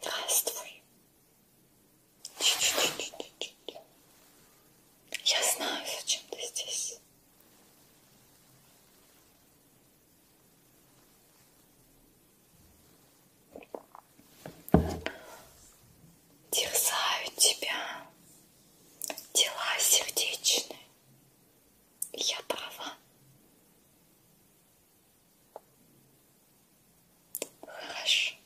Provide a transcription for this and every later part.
Здравствуй. Чуть-чуть. Я знаю, зачем ты здесь. Терзают тебя дела сердечные. Я права. Хорошо.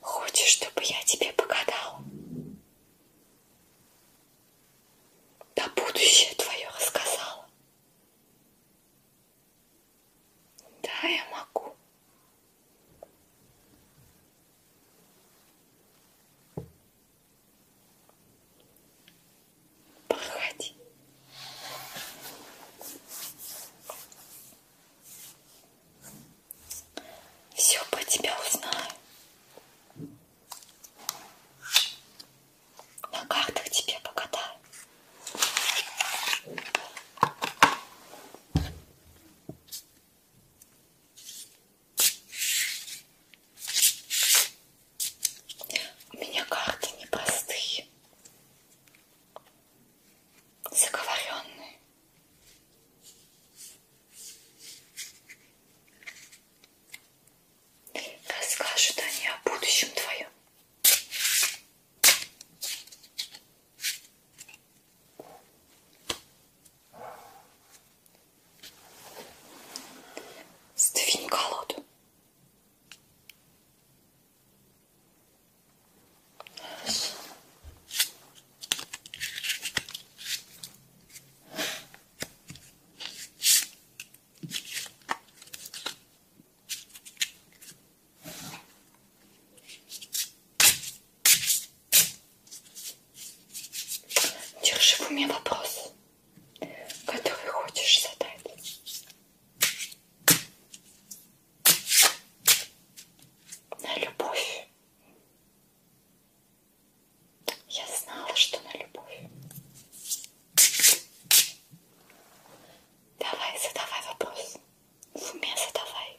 Хочешь, чтобы я тебе погадала? Да будущее твое рассказала. Да, я могу. Походи. Все по тебя узнаю. На картах тебе покатаю. У меня карты непростые, заговоренные. Расскажут они о будущем твоем. Сдвинь колоду. Держи в уме вопрос, который хочешь задать. На любовь. Я знала, что на любовь. Давай, задавай вопрос. В уме задавай.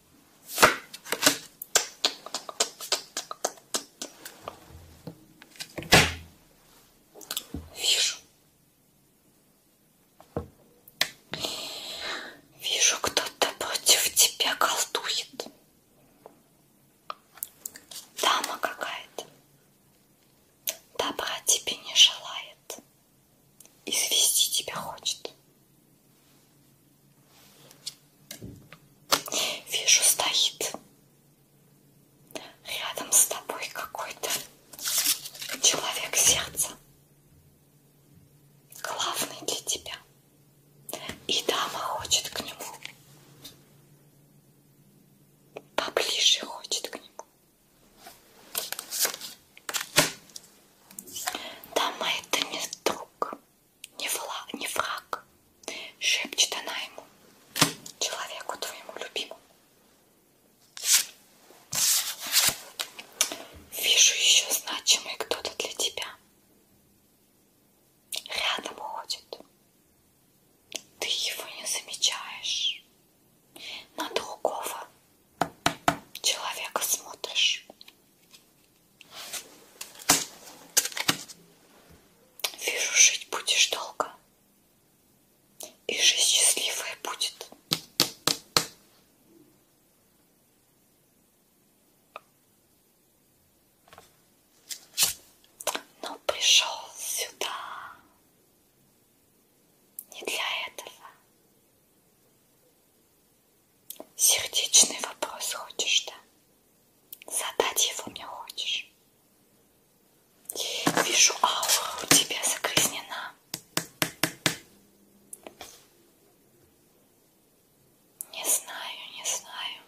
Вижу. Вижу, кто-то против тебя колдует. Дама какая-то. Добра тебе не желает. Извести тебя хочет. Вижу, стоит рядом с тобой какой-то человек сердца. Главный для тебя. И дама хочет к нему. Поближе хочет к нему. Дама это не друг не, вла, не враг, шепчет она ему, человеку твоему любимому. Вижу еще значимый кто-то для тебя. Рядом ходит. Ты его не замечаешь. На другого человека смотришь Вижу, жить будешь долго. И жизнь счастливая будет. Но пришел сюда не для этого. Сердечный вопрос хочешь, да? Задать его мне хочешь? Вижу, аура у тебя загрязнена. Не знаю, не знаю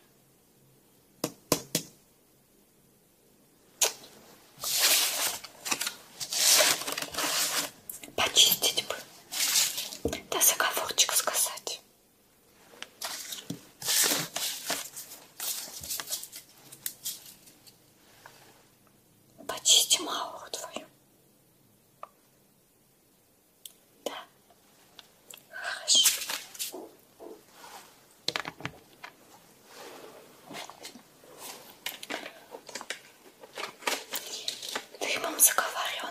почистить бы, да заговорчик сказать. Почистим ауру твою. Да. Хорошо. Дымом заговоренным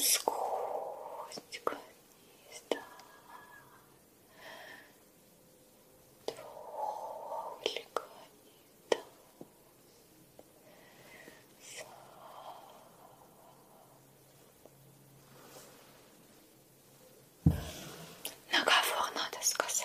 Сквозь гнезда Троллика не даст Сам Наговор надо сказать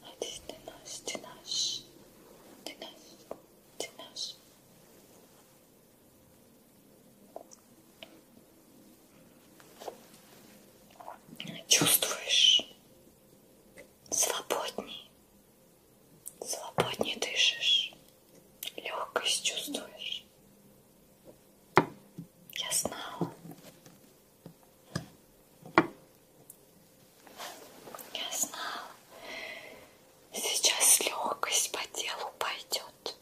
Один, ты наш, ты наш, ты наш, ты наш. Чувствуешь? Свободней. Свободней дышишь. Легкость чувствуешь. Я знала, я знала, сейчас легкость по телу пойдет.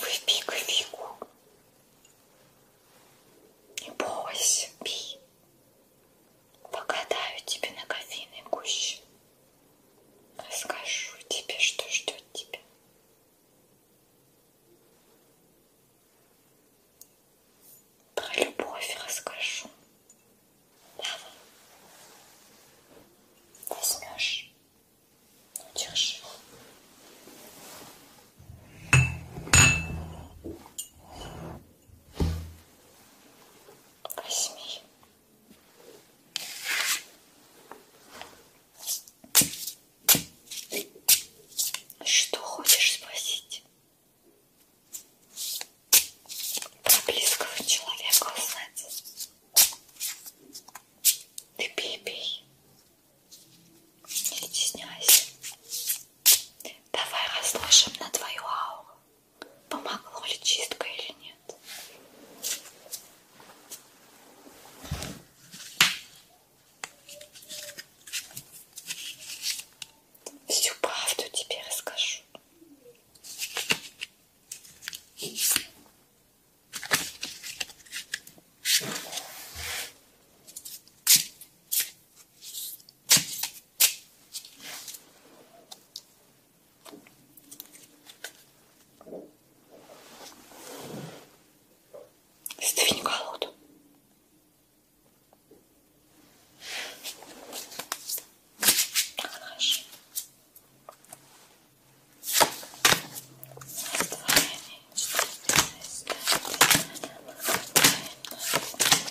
Выпей кофейку. Не бойся, пей. Погадаю тебе на кофейной гуще. Расскажу тебе, что ждет тебя. Про любовь расскажу. Давай. Возьмешь. Ну, держи восьми. Что хочешь спросить? Про близкого человека узнать. Ты пей, пей. Не стесняйся. Давай разложим на твою ауру. Помогло ли чистка или нет? Всю правду тебе расскажу. Сдвинь колоду. Хорошо. Раздвоение. Раздвоение. Раздвоение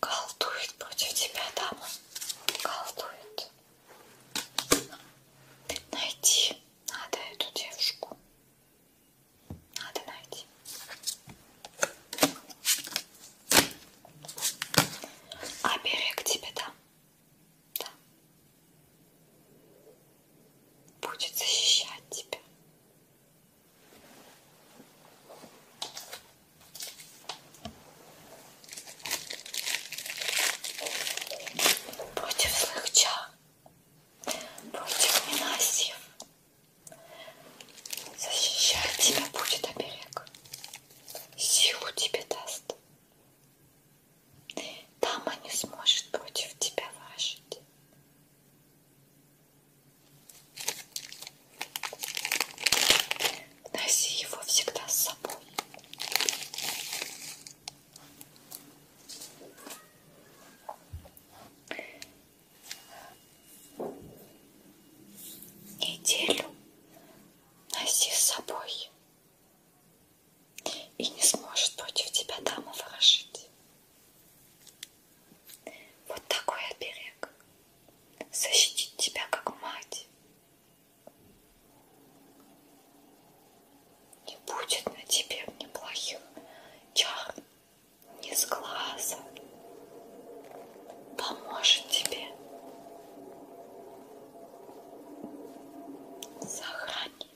Колдует против тебя, дама. Колдует. Найти надо эту девушку. Надо найти. А берег тебе там. Да. Будет защищать тебя. Против злых чар, против ненасьев. Защищать тебя будет оберег. Силу тебе даст. Дама не сможет против тебя вражить. Носи его всегда с собой. Неделю носи с собой. И не сможет против тебя дама выражить. Вот такой оберег защитит тебя как мать не будет на тебе неплохих чар, не с глаза. Поможет тебе. Сохранит.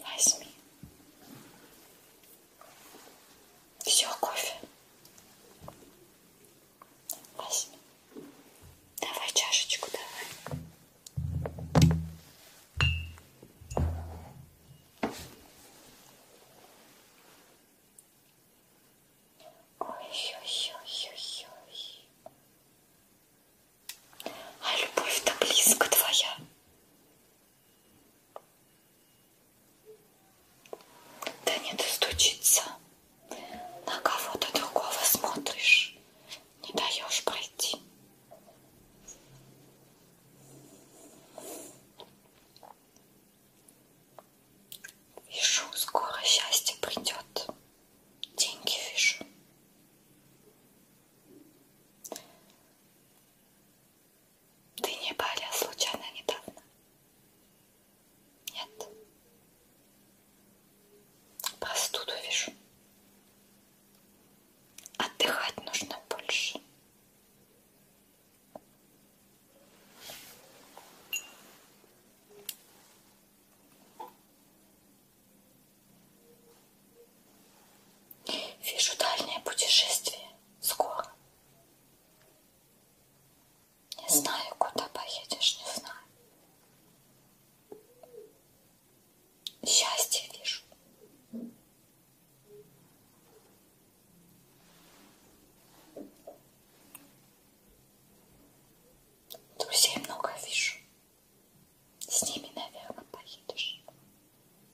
Возьми. Все, кофе. Возьми. Давай чашечку, давай. Ой-ой-ой-ой-ой а любовь-то близко твоя. Да не достучиться, на кого-то другого смотришь, не даешь пройти. Вижу, скоро счастье придет. Деньги вижу. Ты не Баля а случайно недавно? Нет. Простуду вижу. Отдыхать нужно больше. Вижу дальнее путешествие скоро. Не знаю, куда поедешь, не знаю. Счастье вижу. Друзей много вижу. С ними, наверное, поедешь.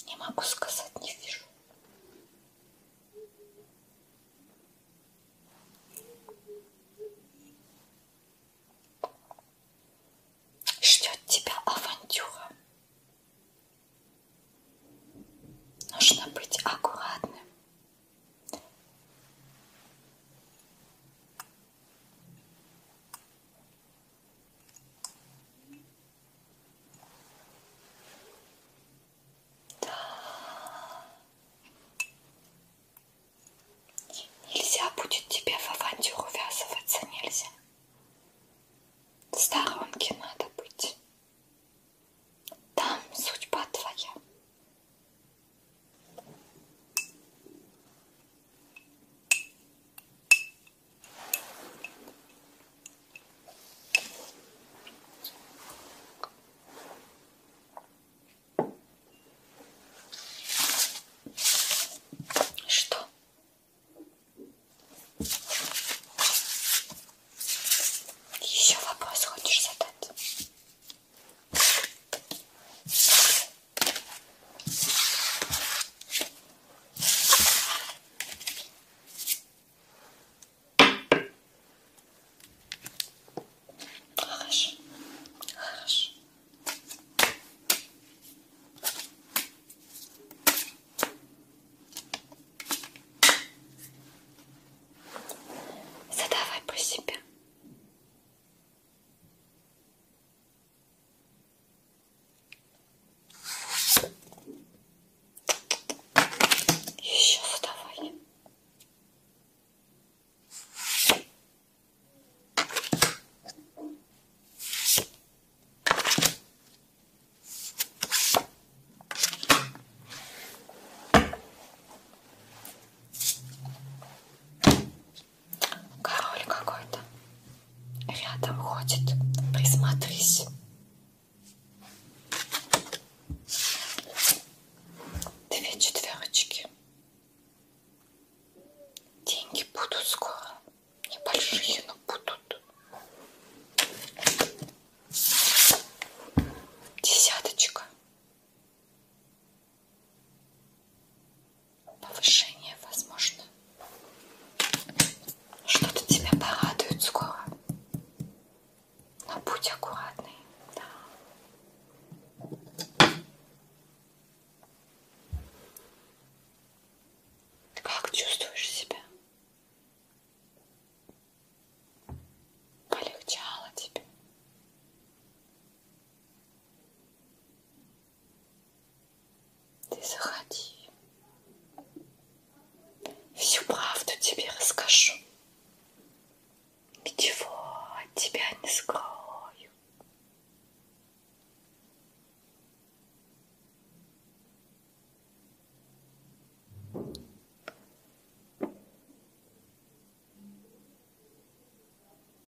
Не могу сказать, не вижу. Ждет тебя авантюра. Нужно быть аккуратным. Да. Нельзя будет тебе в авантюру ввязываться, нельзя. В сторонке надо быть. Там судьба твоя. Что? Еще вопрос хочешь задать? Хорошо, хорошо. Задавай по себе. Еще задавай. Король какой-то рядом ходит. Присмотрись. Две четверочки. Деньги будут скоро. Небольшие, но будут. Десяточка повышение возможно. Что-то тебя порадует скоро. Но будь аккуратный. Да. Ты как чувствуешь себя? Полегчало тебе? Ты заходи. Всю правду тебе расскажу. Ничего от тебя не скрою.